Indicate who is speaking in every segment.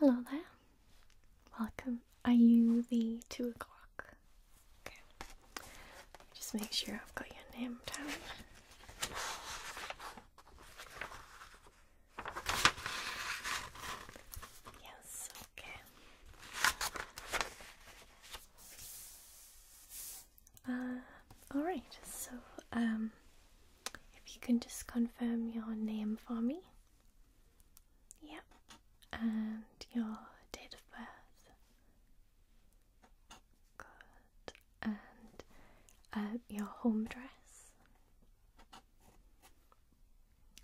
Speaker 1: Hello there. Welcome. Are you the two o'clock? Okay. Just make sure I've got your name down. Yes, okay. Uh, all right. So, um, if you can just confirm your name for me. Yep. And your date of birth. And uh, your home address.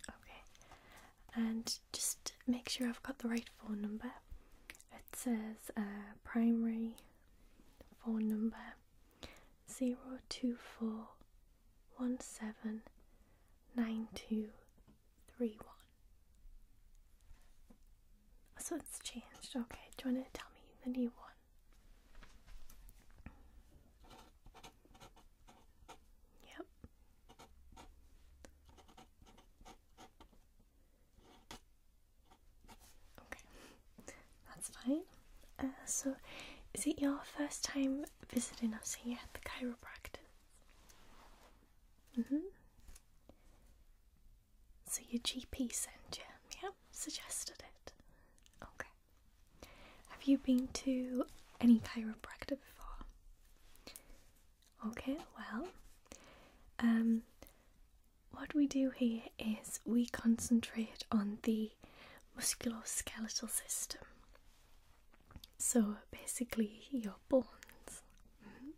Speaker 1: Okay. And just make sure I've got the right phone number. It says uh, primary phone number zero two four one seven nine two three one. So it's changed. Okay, do you want to tell me the new one? Yep. Okay, that's fine. Uh, so, is it your first time visiting us here at the chiropractor? Mm hmm. So, your GP sent you, yeah? Suggested it. Okay. Have you been to any chiropractor before? Okay, well, um, what we do here is we concentrate on the musculoskeletal system. So basically, your bones, mm-hmm.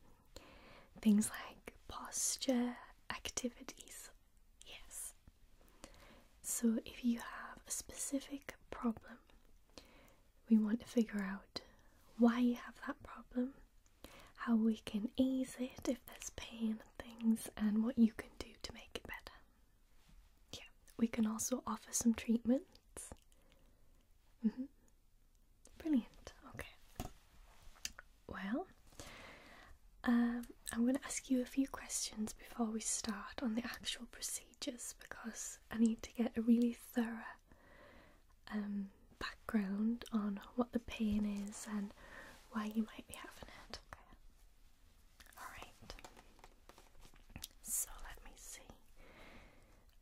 Speaker 1: things like posture, activities, yes. So if you have a specific problem, we want to figure out why you have that problem how we can ease it if there's pain and things, and what you can do to make it better. Yeah, we can also offer some treatments. Mm-hmm. Brilliant. Okay. Well, um, I'm going to ask you a few questions before we start on the actual procedures because I need to get a really thorough um, background on what the pain is and why you might be having it. Alright. So let me see.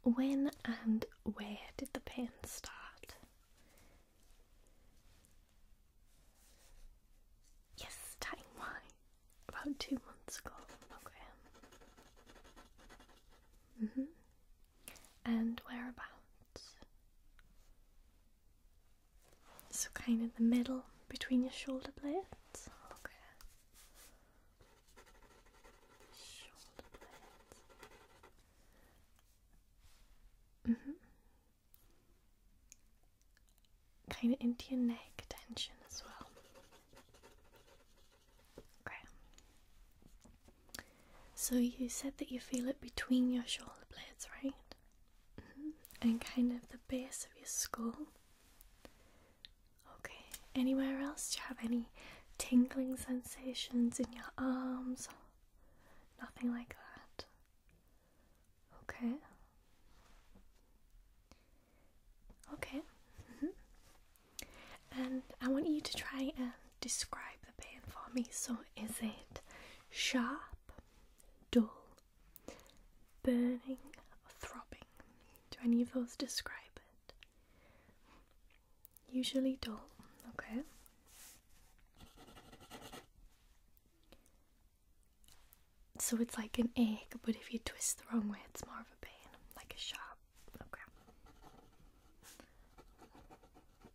Speaker 1: When and where did the pain start? Yes, time why? About two months ago. Okay. Mm-hmm and whereabouts? So, kind of the middle between your shoulder blades. Okay. Shoulder blades. Mm-hmm. kind of into your neck tension as well. Okay. So you said that you feel it between your shoulder blades, right? Mm-hmm. And kind of the base of your skull. Okay. Anywhere else? Do you have any tingling sensations in your arms? Nothing like that. Okay. Okay. Mm-hmm. And I want you to try and describe the pain for me. So, is it sharp, dull, burning, throbbing? Do any of those describe it? Usually dull, okay. So it's like an ache, but if you twist the wrong way, it's more of a pain, like a sharp crap.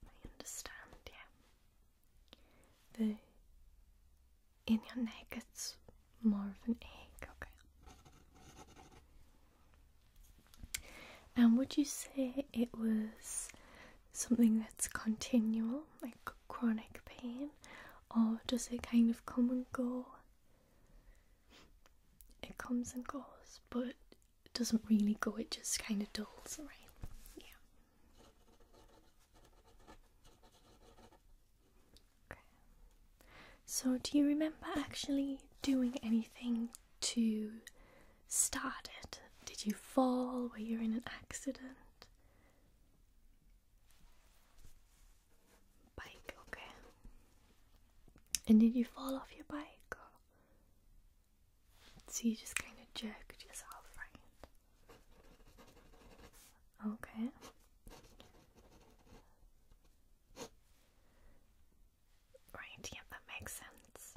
Speaker 1: I understand, yeah. The in your neck it's more of an ache. okay. And would you say it was something that's continual, like chronic pain, or does it kind of come and go? It comes and goes, but doesn't really go, it just kind of dulls right? Yeah. Okay. So, do you remember actually doing anything to start it? Did you fall? Were you in an accident? Bike, okay. And did you fall off your bike? So you just kind of jerked yourself, right? Okay. Right, yeah, that makes sense.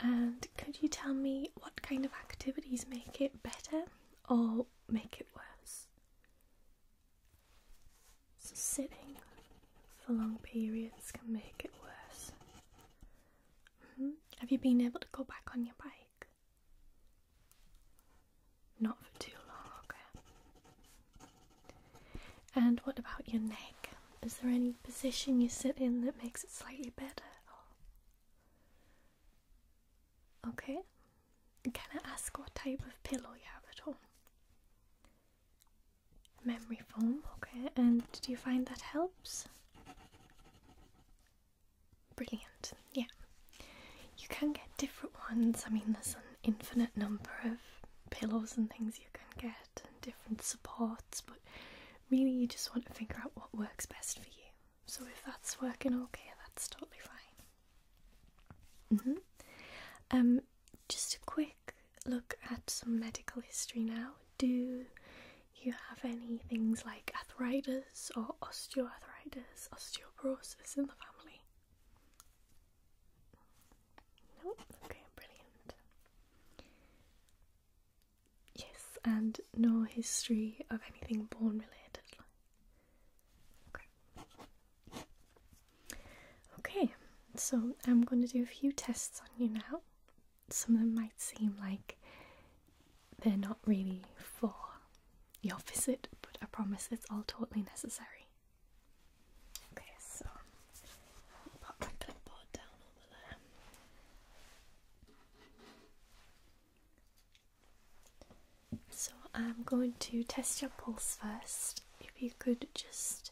Speaker 1: And could you tell me what kind of activities make it better or make it worse? sitting, for long periods can make it worse. Hmm? Have you been able to go back on your bike? Not for too long, okay. And what about your neck? Is there any position you sit in that makes it slightly better? Okay. Can I ask what type of pillow you have at home? memory foam. Okay, and do you find that helps? Brilliant. Yeah. You can get different ones. I mean, there's an infinite number of pillows and things you can get, and different supports, but really you just want to figure out what works best for you. So if that's working okay, that's totally fine. -hmm. Um, just a quick look at some medical history now. Do you have any things like arthritis or osteoarthritis, osteoporosis in the family? No? Okay, brilliant. Yes, and no history of anything bone related. Okay. Okay, so I'm going to do a few tests on you now some of them might seem like they're not really for your visit, but I promise it's all totally necessary. Okay, so So I'm going to test your pulse first. If you could just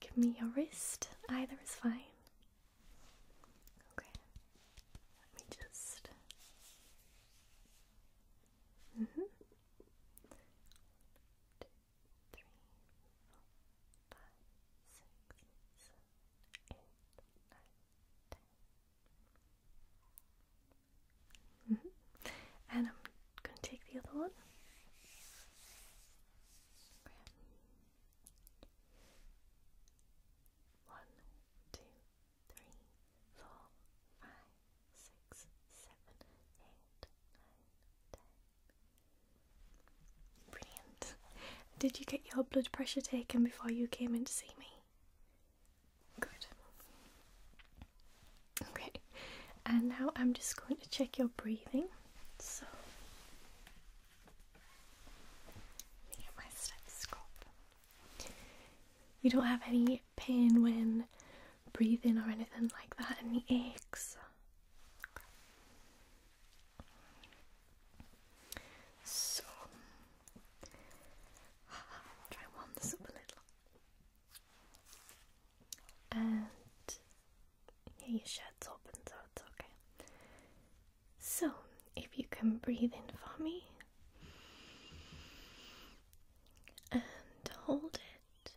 Speaker 1: Give me your wrist. Either is fine. Okay. Let me just. Mm-hmm. One, two, three, four, five, six, seven, eight, nine, ten. Mm-hmm. And I'm gonna take the other one. One, two, three, four, five, six, seven, eight, nine, ten. Brilliant. Did you get your blood pressure taken before you came in to see me? Good. Okay, and now I'm just going to check your breathing so let me get my stethoscope. You don't have any pain when breathing or anything like that, any aches. Okay. So try warm this up a little. And yeah, your shirt's open, so it's okay. So, if you can breathe in for me and hold it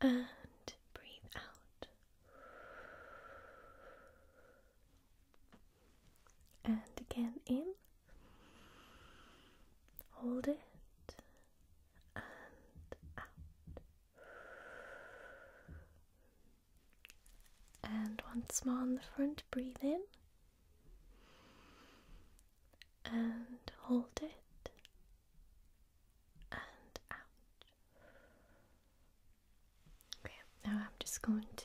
Speaker 1: and breathe out and again in, hold it and out. And once more on the front, breathe in and hold it and out. Okay, now I'm just going to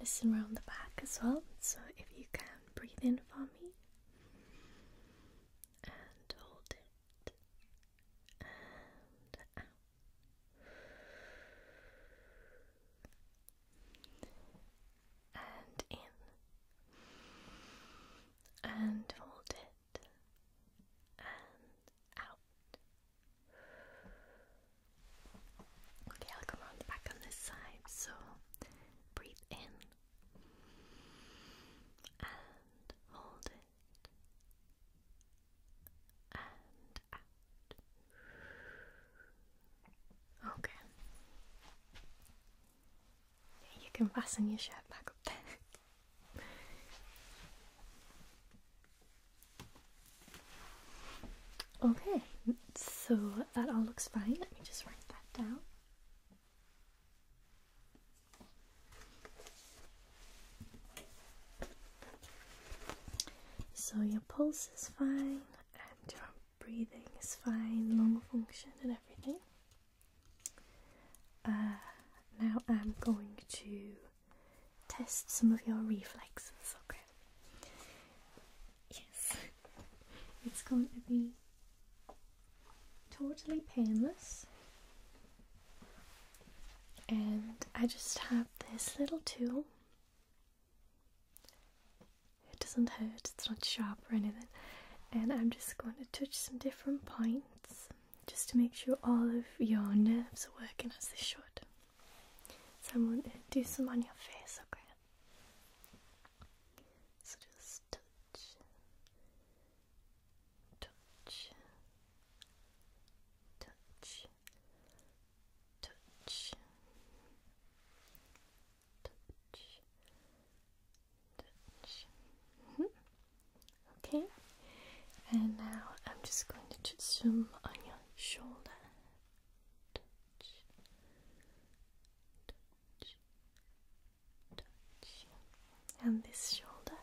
Speaker 1: listen around the back as well. So if you can breathe in for me and hold it and out. And in. And hold it. And out. Okay, I'll come around back on this side. So breathe in. And hold it. Okay. You can fasten your shirt back up there. Okay, so that all looks fine. Let me just write that down. So your pulse is fine and your breathing is fine, lung function and everything. Uh, now I'm going to test some of your reflexes, okay? Yes, it's going to be totally painless. And I just have this little tool. It doesn't hurt, it's not sharp or anything. And I'm just going to touch some different points just to make sure all of your nerves are working as they should. So I'm going to do some on your face, okay? So just touch, touch, touch, touch, touch, touch. -hmm. Okay, and now I'm just going to just zoom on your shoulder and this shoulder,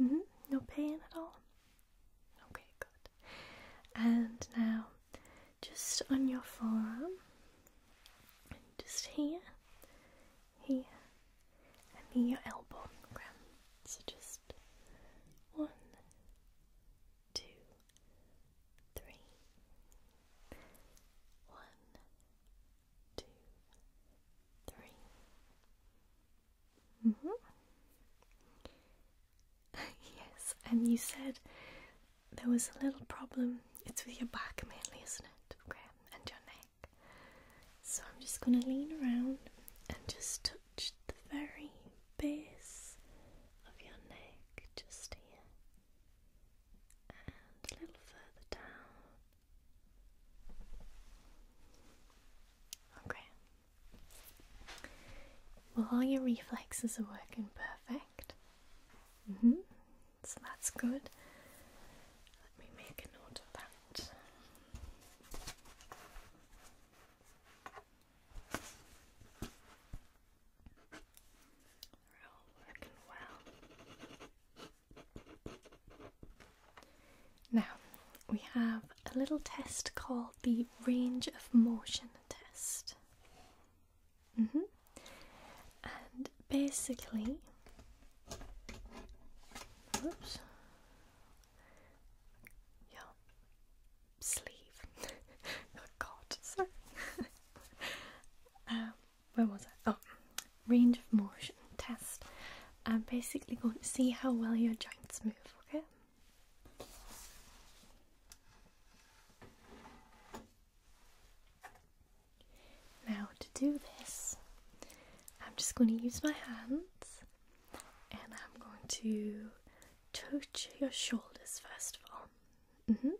Speaker 1: mm-hmm. No pain at all. Okay, good. And now, just on your forearm, just here, here, and near your elbow. So just one, two three, one, two, three. -hmm. yes, and you said there was a little problem. It's with your back mainly, isn't it? Okay, and your neck. So I'm just going to lean around and just touch the very base of your neck, just here and a little further down. Okay. Well, all your reflexes are working perfect. Mm-hmm. So that's good. Let me make a note of that. Now, we have a little test called the range of motion test. Mm-hmm. And basically, oops, sleeve got caught, sorry. Um, where was I? Oh, range of motion test. I'm basically going to see how well your joints move, okay? Now, to do this, I'm just going to use my hands and I'm going to touch your shoulders first of all. Mm-hmm.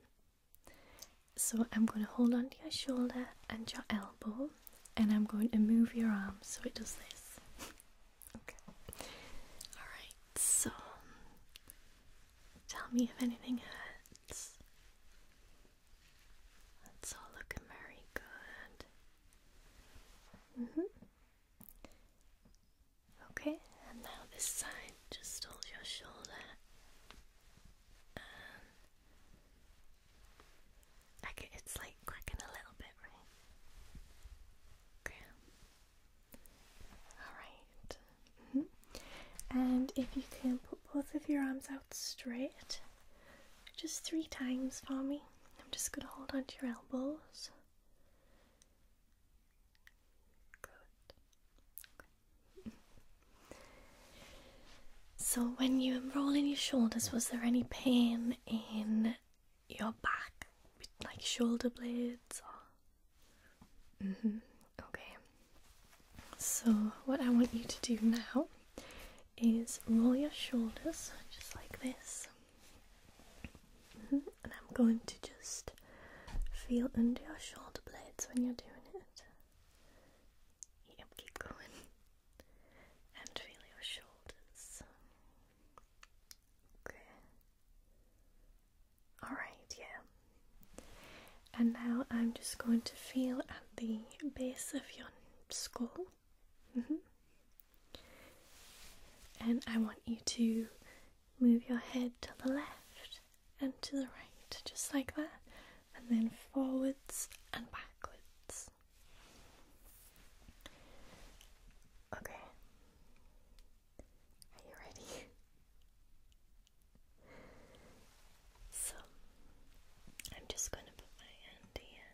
Speaker 1: So I'm going to hold onto your shoulder and your elbow, and I'm going to move your arm so it does this. okay. Alright, so tell me if anything hurts. That's all looking very good. hmm. Okay, and now this side, just hold your shoulder. And it's like cracking a little bit, right? Okay. Alright. Mm-hmm. And if you can put both of your arms out straight, just three times for me. I'm just going to hold onto your elbows so when you were rolling your shoulders, was there any pain in your back like shoulder blades mm-hmm. okay. So what I want you to do now is roll your shoulders just like this. Mm-hmm. And I'm going to just feel under your shoulder blades when you're doing it. Yep, keep going. And feel your shoulders. Okay. Alright, yeah. And now I'm just going to feel at the base of your skull. Mm-hmm. And I want you to move your head to the left and to the right, just like that, and then forwards and backwards. Okay, are you ready? So, I'm just going to put my hand here.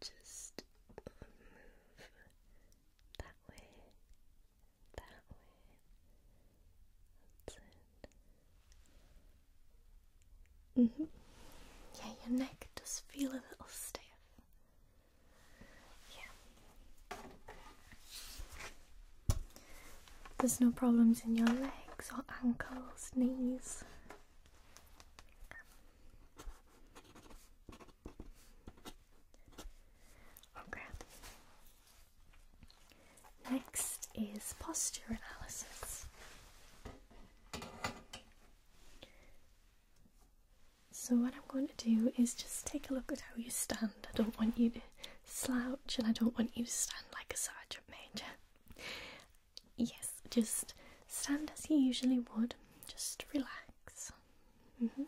Speaker 1: Just move that way that way. That's it. Mm-hmm. Yeah, your neck does feel a little stiff. Yeah. There's no problems in your legs or ankles, knees. Okay. Oh, Next is posture analysis. So, what I'm going to do is just take a look at how you stand. I don't want you to slouch and I don't want you to stand like a sergeant major. Yes, just stand as you usually would, just relax. Mm-hmm.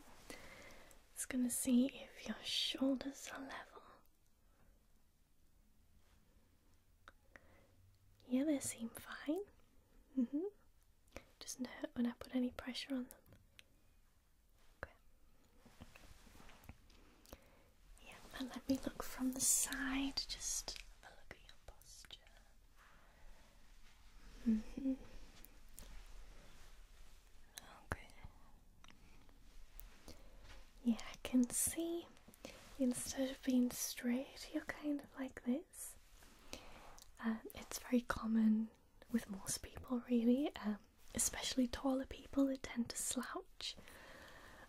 Speaker 1: It's going to see if your shoulders are level. Yeah, they seem fine. Mm -hmm. Doesn't hurt when I put any pressure on them. Okay. Yeah, and let me look from the side. Just have a look at your posture. -hmm. Okay. Yeah, I can see instead of being straight, you're kind of like this. Um, it's very common with most people, really, um, especially taller people, they tend to slouch.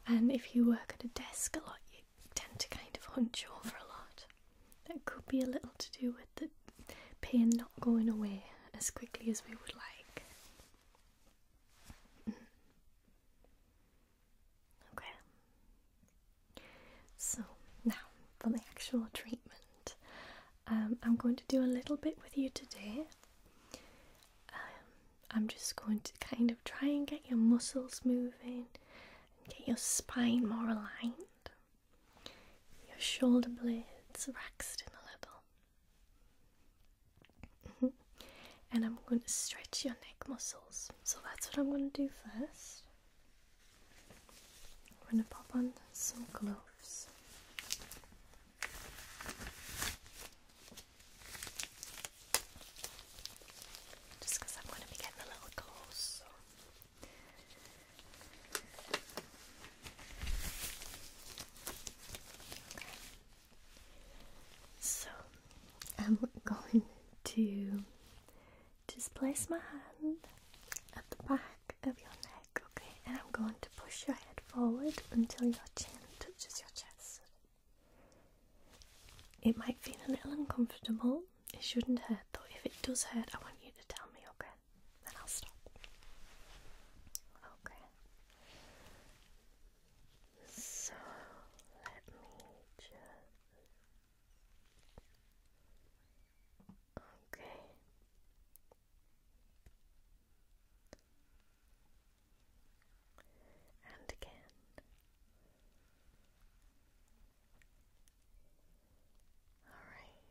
Speaker 1: And if you work at a desk a lot, you tend to kind of hunch over a lot. That could be a little to do with the pain not going away as quickly as we would like. Mm-hmm. Okay. So now for the actual treatment, um, I'm going to do a little bit with you today. Um, I'm just going to kind of try and get your muscles moving and get your spine more aligned your shoulder blades relaxed in a little. Mm-hmm. and I'm going to stretch your neck muscles. So that's what I'm going to do first. I'm going to pop on some gloves. Just because I'm going to be getting a little cold, so I'm going to just place my hand at the back of your neck, okay? And I'm going to push your head forward until your chin touches your chest. It might feel a little uncomfortable. It shouldn't hurt though. If it does hurt, I want you to tell me, okay? then I'll stop. Okay. So let me just. Okay. And again. All right.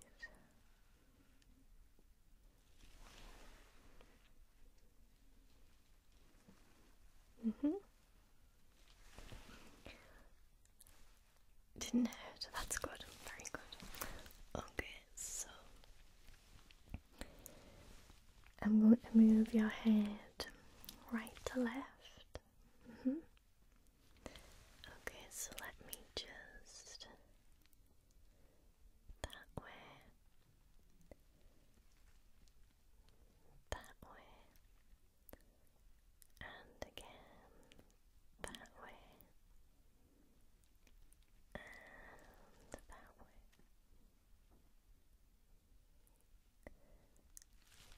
Speaker 1: Mm hmm. Didn't hurt. That's good. Very good. Okay, so I'm going to move your head right to left. Mm hmm. Okay, so let me just that way, that way, and again that way, and that way.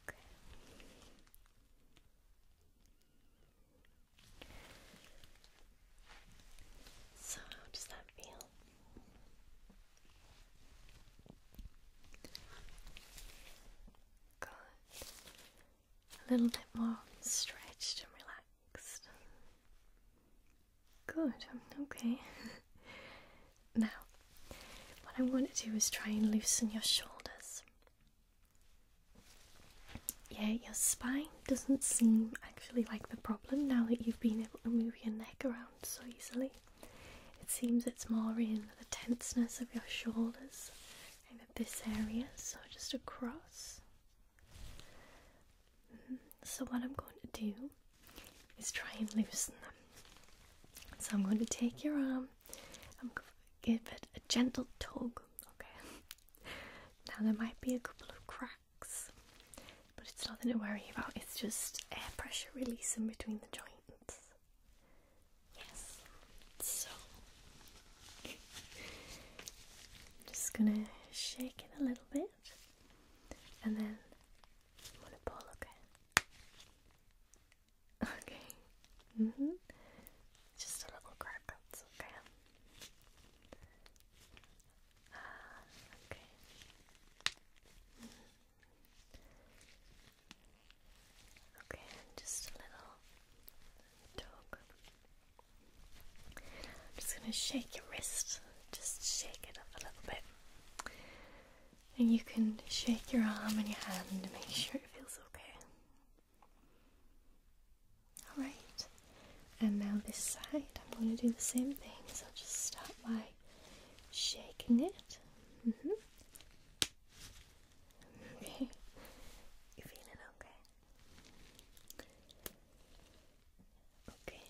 Speaker 1: Okay. So, how does that feel? Good. A little bit more stretched and relaxed. Good, okay. now, what I want to do is try and loosen your shoulders. Yeah, your spine doesn't seem actually like the problem now that you've been able to move your neck around so easily. It seems it's more in the tenseness of your shoulders and at this area, so just across. Mm-hmm. So, what I'm going to do is try and loosen them. So, I'm going to take your arm give it a gentle tug, okay? Now there might be a couple of cracks, but it's nothing to worry about, it's just air pressure releasing between the joints. Yes, so I'm just gonna shake it a little bit and then I'm gonna pull okay. Okay. Mm-hmm. Just a little crack, okay. Ah, okay. Mm-hmm. Okay, just a little dog. I'm just going to shake your wrist, just shake it up a little bit. And you can shake your arm and your hand to make sure it feels okay. Alright, and now this side, I'm going to do the same thing. So just start by shaking it. Mm-hmm. Okay, you feeling okay? Okay,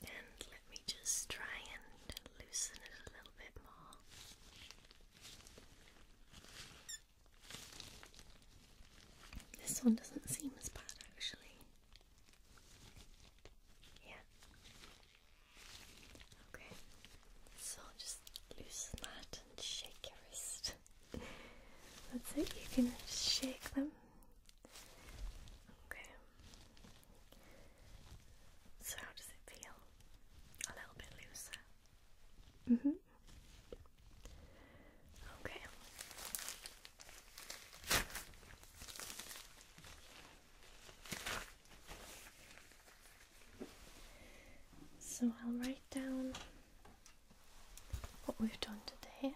Speaker 1: and let me just try and loosen it a little bit more. This one doesn't seem as bad actually. Yeah. Okay. So just loosen that and shake your wrist. That's it, you can shake them. Okay. So how does it feel? A little bit looser. Mm-hmm. Okay. So I'll write down what we've done today.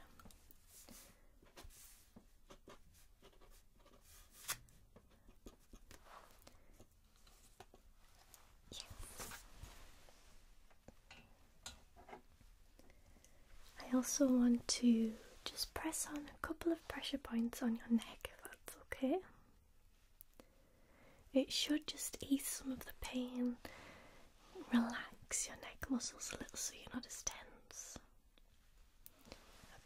Speaker 1: I also want to just press on a couple of pressure points on your neck if that's okay. It should just ease some of the pain, relax your neck muscles a little so you're not as tense.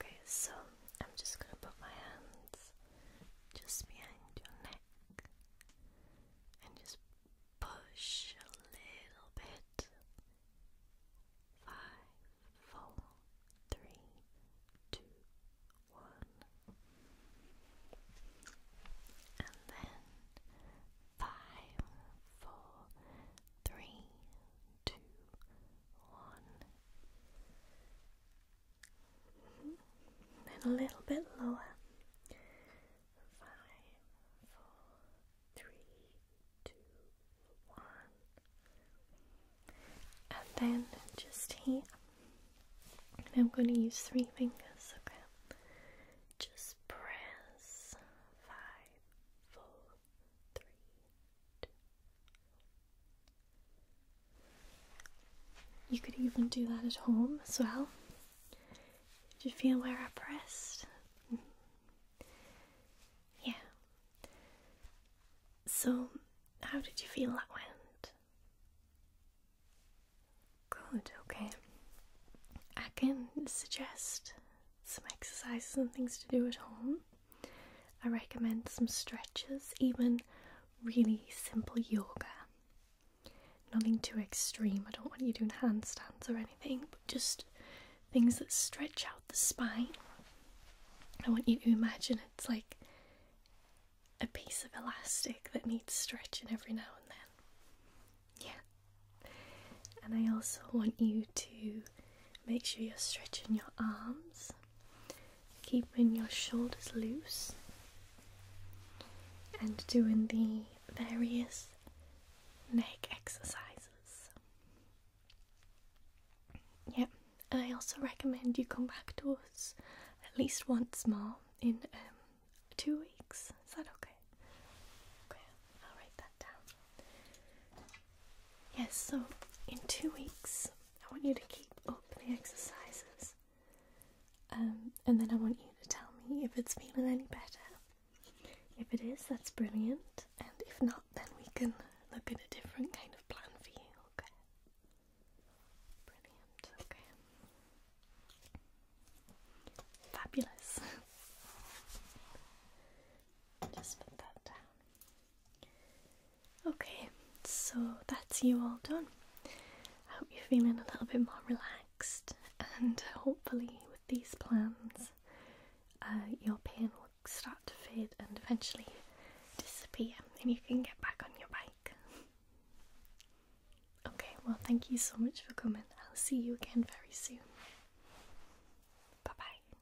Speaker 1: Okay, so I'm just going to put my hands just behind your neck and just push a little bit. Five, four, three, two, one, and then five, four, three, two, one. Then a little bit lower five, four, three, two, one. And then just here, I'm going to use three fingers, okay? Just press five, four, three, two. You could even do that at home as well. Did you feel where I pressed? Mm-hmm. yeah. So, how did you feel that went? Good, okay. I can suggest some exercises and things to do at home. I recommend some stretches, even really simple yoga. Nothing too extreme. I don't want you doing handstands or anything, but just things that stretch out the spine. I want you to imagine it's like a piece of elastic that needs stretching every now and then. Yeah. And I also want you to make sure you're stretching your arms, keeping your shoulders loose, and doing the various neck exercises. Yeah, I also recommend you come back to us at least once more in um, two weeks. Is that okay? Okay, I'll write that down. Yes, so in two weeks, I want you to keep up the exercises. Um, and then I want you to tell me if it's feeling any better if it is, that's brilliant. And if not, then we can look at a different kind of plan for you, okay? Brilliant, okay. Fabulous. Just put that down. Okay, so that's you all done. I hope you're feeling a little bit more relaxed and hopefully these plans, uh, your pain will start to fade and eventually disappear, and you can get back on your bike. Okay, well, thank you so much for coming. I'll see you again very soon. Bye bye.